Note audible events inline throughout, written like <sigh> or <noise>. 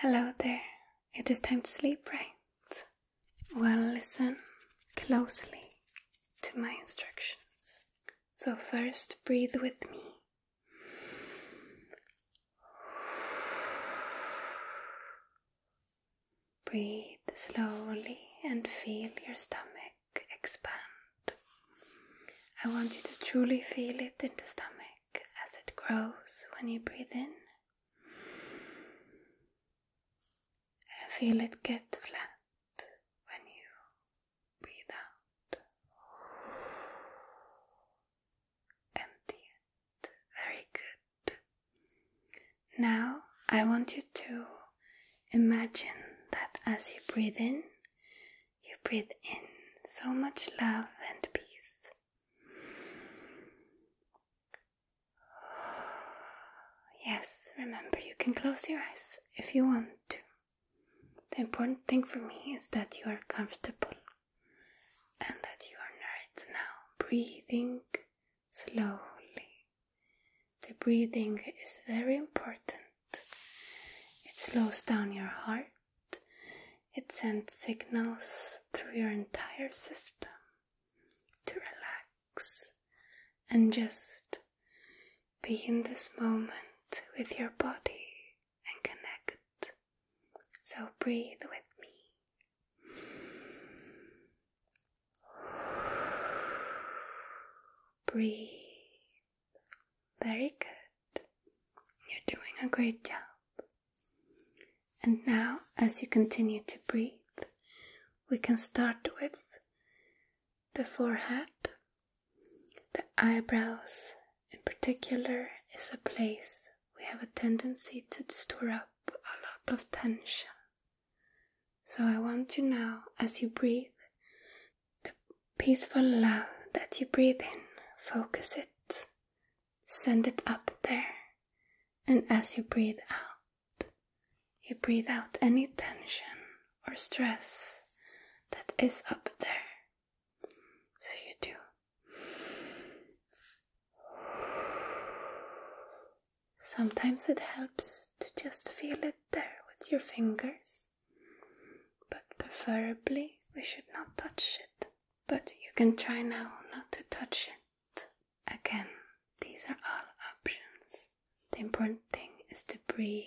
Hello there. It is time to sleep, right? Well, listen closely to my instructions. So, first, breathe with me. Breathe slowly and feel your stomach expand. I want you to truly feel it in the stomach as it grows when you breathe in. And feel it get flat when you breathe out. Empty Very good. Now I want you to imagine that as you breathe in, you breathe in so much love and peace <sighs> Yes, remember you can close your eyes if you want to. The important thing for me is that you are comfortable and that you are now breathing slowly. The breathing is very important, it slows down your heart it sends signals through your entire system to relax and just be in this moment with your body and connect. So breathe with me. Breathe very good. You're doing a great job. And now, as you continue to breathe, we can start with the forehead. The eyebrows, in particular, is a place we have a tendency to store up a lot of tension. So I want you now, as you breathe, the peaceful love that you breathe in, focus it, send it up there, and as you breathe out, you breathe out any tension or stress that is up there. So you do. Sometimes it helps to just feel it there with your fingers. But preferably we should not touch it. But you can try now not to touch it. Again, these are all options. The important thing is to breathe.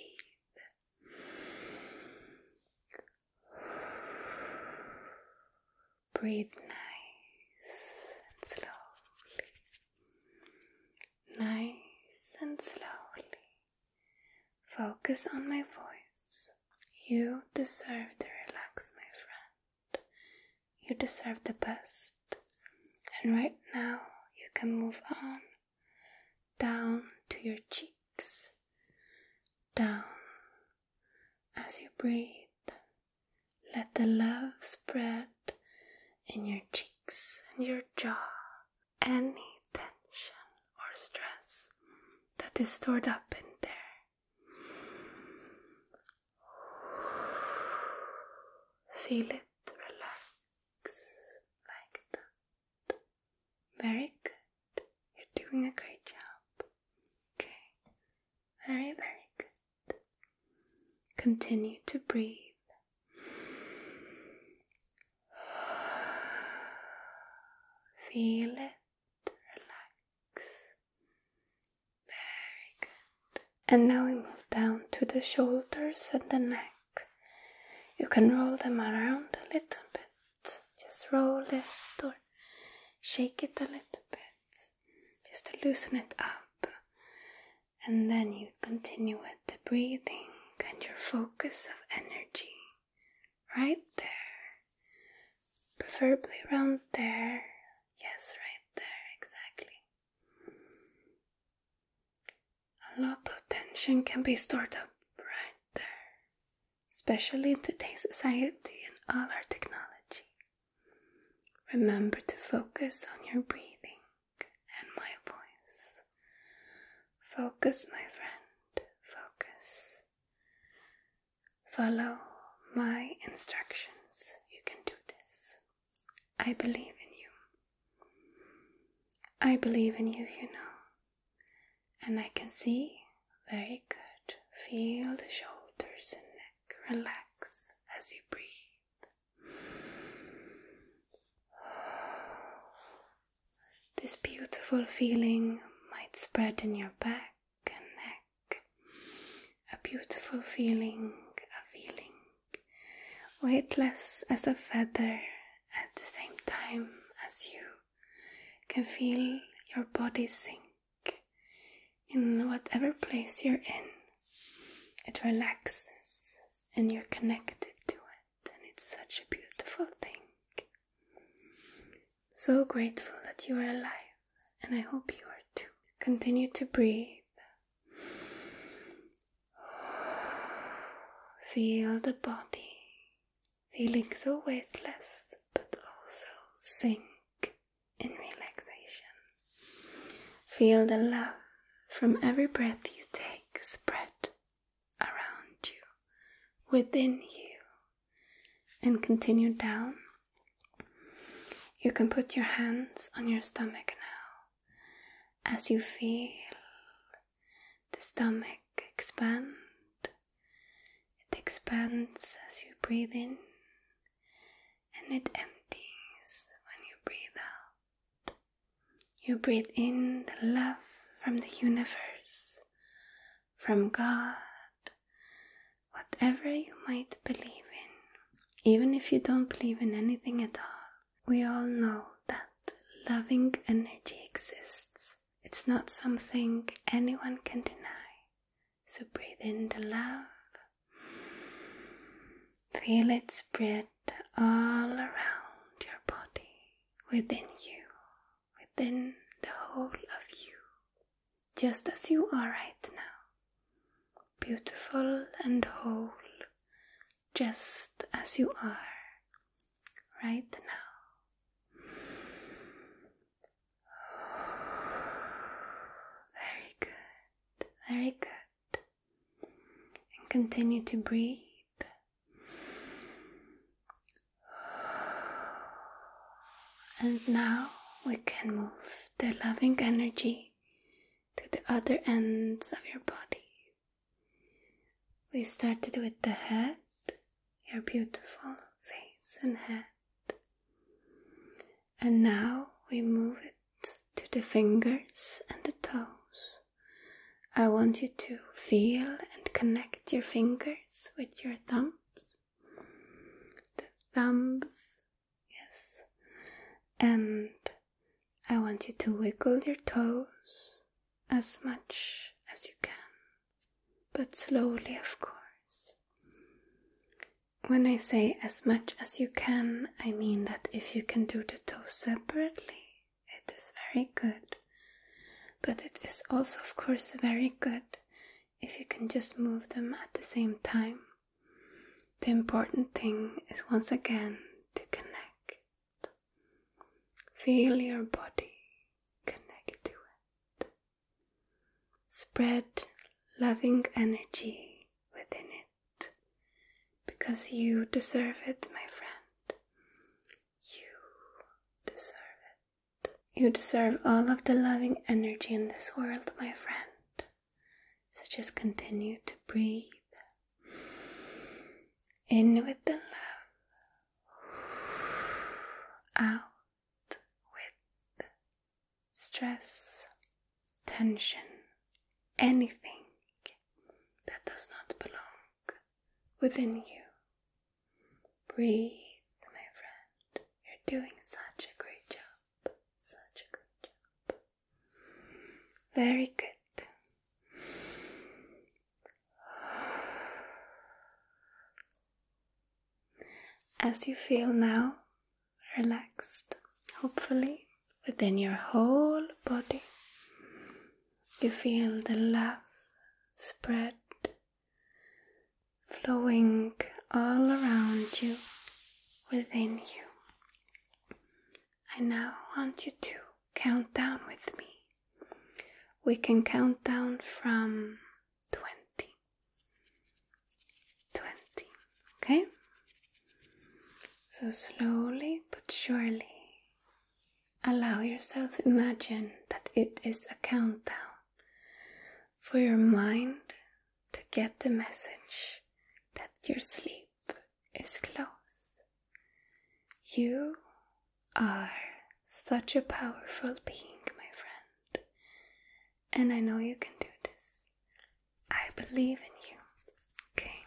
Breathe nice and slowly. Nice and slowly. Focus on my voice. You deserve to relax, my friend. You deserve the best. And right now, you can move on down to your cheeks, down. As you breathe, let the love spread in your cheeks and your jaw any tension or stress that is stored up in there. Feel it relax Very good. You're doing a great job. Okay. Very, very good. Continue to breathe Feel it relax. Very good. And now we move down to the shoulders and the neck. You can roll them around a little bit. Just roll it or shake it a little bit just to loosen it up. And then you continue it the breathing and your focus of energy right there, preferably around there. Yes, right there, exactly. A lot of tension can be stored up right there, especially in today's society and all our technology. Remember to focus on your breathing and my voice. Focus, my friend, focus. Follow my instructions. You can do this. I believe in you. I believe in you, you know. And I can see. Very good. Feel the shoulders and neck relax as you breathe. This beautiful feeling might spread in your back and neck. A beautiful feeling, a feeling weightless as a feather at the same time as you can feel your body sink in whatever place you're in. It relaxes and you're connected to it and it's such a beautiful thing. So grateful that you are alive, and I hope you are too. Continue to breathe. <sighs> Feel the body feeling so weightless but also sink in relaxation. Feel the love from every breath you take, spread around you, within you, and continue down. You can put your hands on your stomach now as you feel the stomach expand. It expands as you breathe in and it empties when you breathe out. You breathe in the love from the universe, from God, whatever you might believe in. Even if you don't believe in anything at all, we all know that loving energy exists. It's not something anyone can deny. So breathe in the love Feel it spread all around your body, within you, within the whole of you, just as you are right now. Beautiful and whole, just as you are right now. <sighs> Very good, very good and continue to breathe. And now we can move the loving energy to the other ends of your body. We started with the head, your beautiful face and head. And now we move it to the fingers and the toes. I want you to feel and connect your fingers with your thumbs. The thumbs, yes. And I want you to wiggle your toes as much as you can, but slowly, of course. When I say as much as you can, I mean that if you can do the toes separately, it is very good. But it is also, of course, very good if you can just move them at the same time. The important thing is once again to connect. Feel your body connect to it. Spread loving energy within it because you deserve it, my friend. You deserve it. You deserve all of the loving energy in this world, my friend. So just continue to breathe in with the love, out with stress, tension, anything that does not belong within you. Breathe, my friend. You're doing such a great job. Such a great job. Very good. As you feel now, relaxed, hopefully, within your whole body. You feel the love spread, flowing all around you, within you. I now want you to count down with me. We can count down from 20 20. Okay? So slowly but surely allow yourself imagine that it is a countdown for your mind to get the message that your sleep is close. You are such a powerful being, my friend, and I know you can do this. I believe in you. Okay.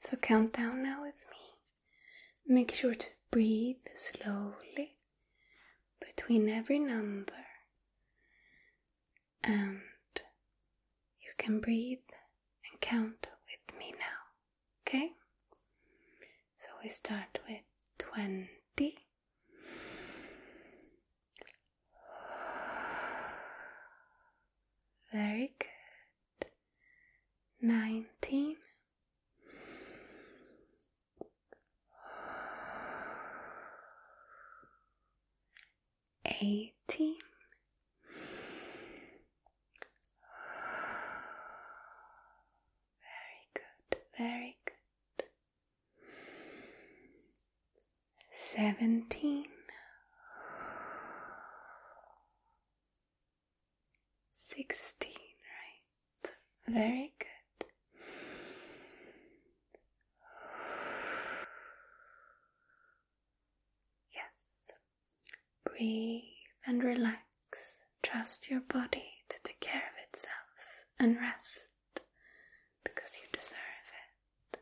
So count down now with me. Make sure to breathe slowly between every number. And you can breathe and count with me now. Okay? So we start with 20. Very good. Nineteen. Eighteen. Very good, very good seventeen, sixteen, right? Very good. Yes. Breathe and relax. Trust your body to take care of itself and rest because you deserve it.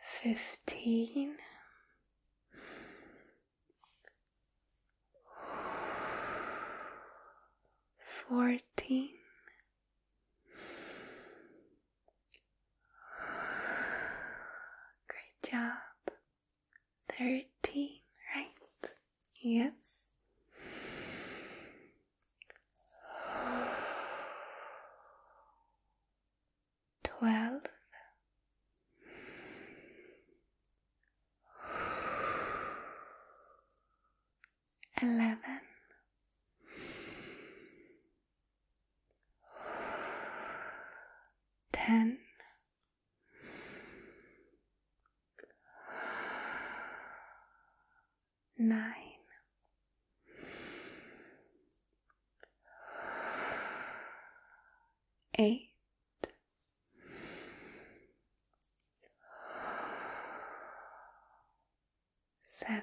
Fifteen. Fourteen. Great job thirteen, right? Yes. Twelve. Eleven. Ten nine, eight, seven,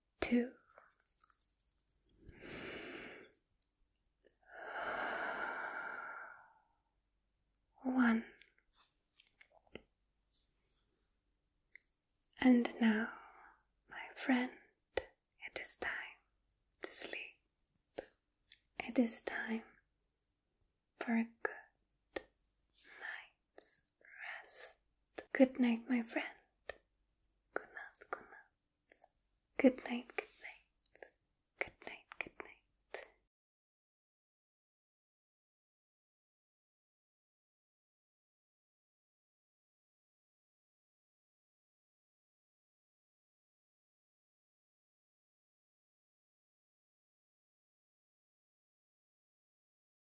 two. One. And now, my friend, it is time to sleep. It is time for a good night rest. Good night, my friend. Good night, good night. Good night, good night. Good night, good night.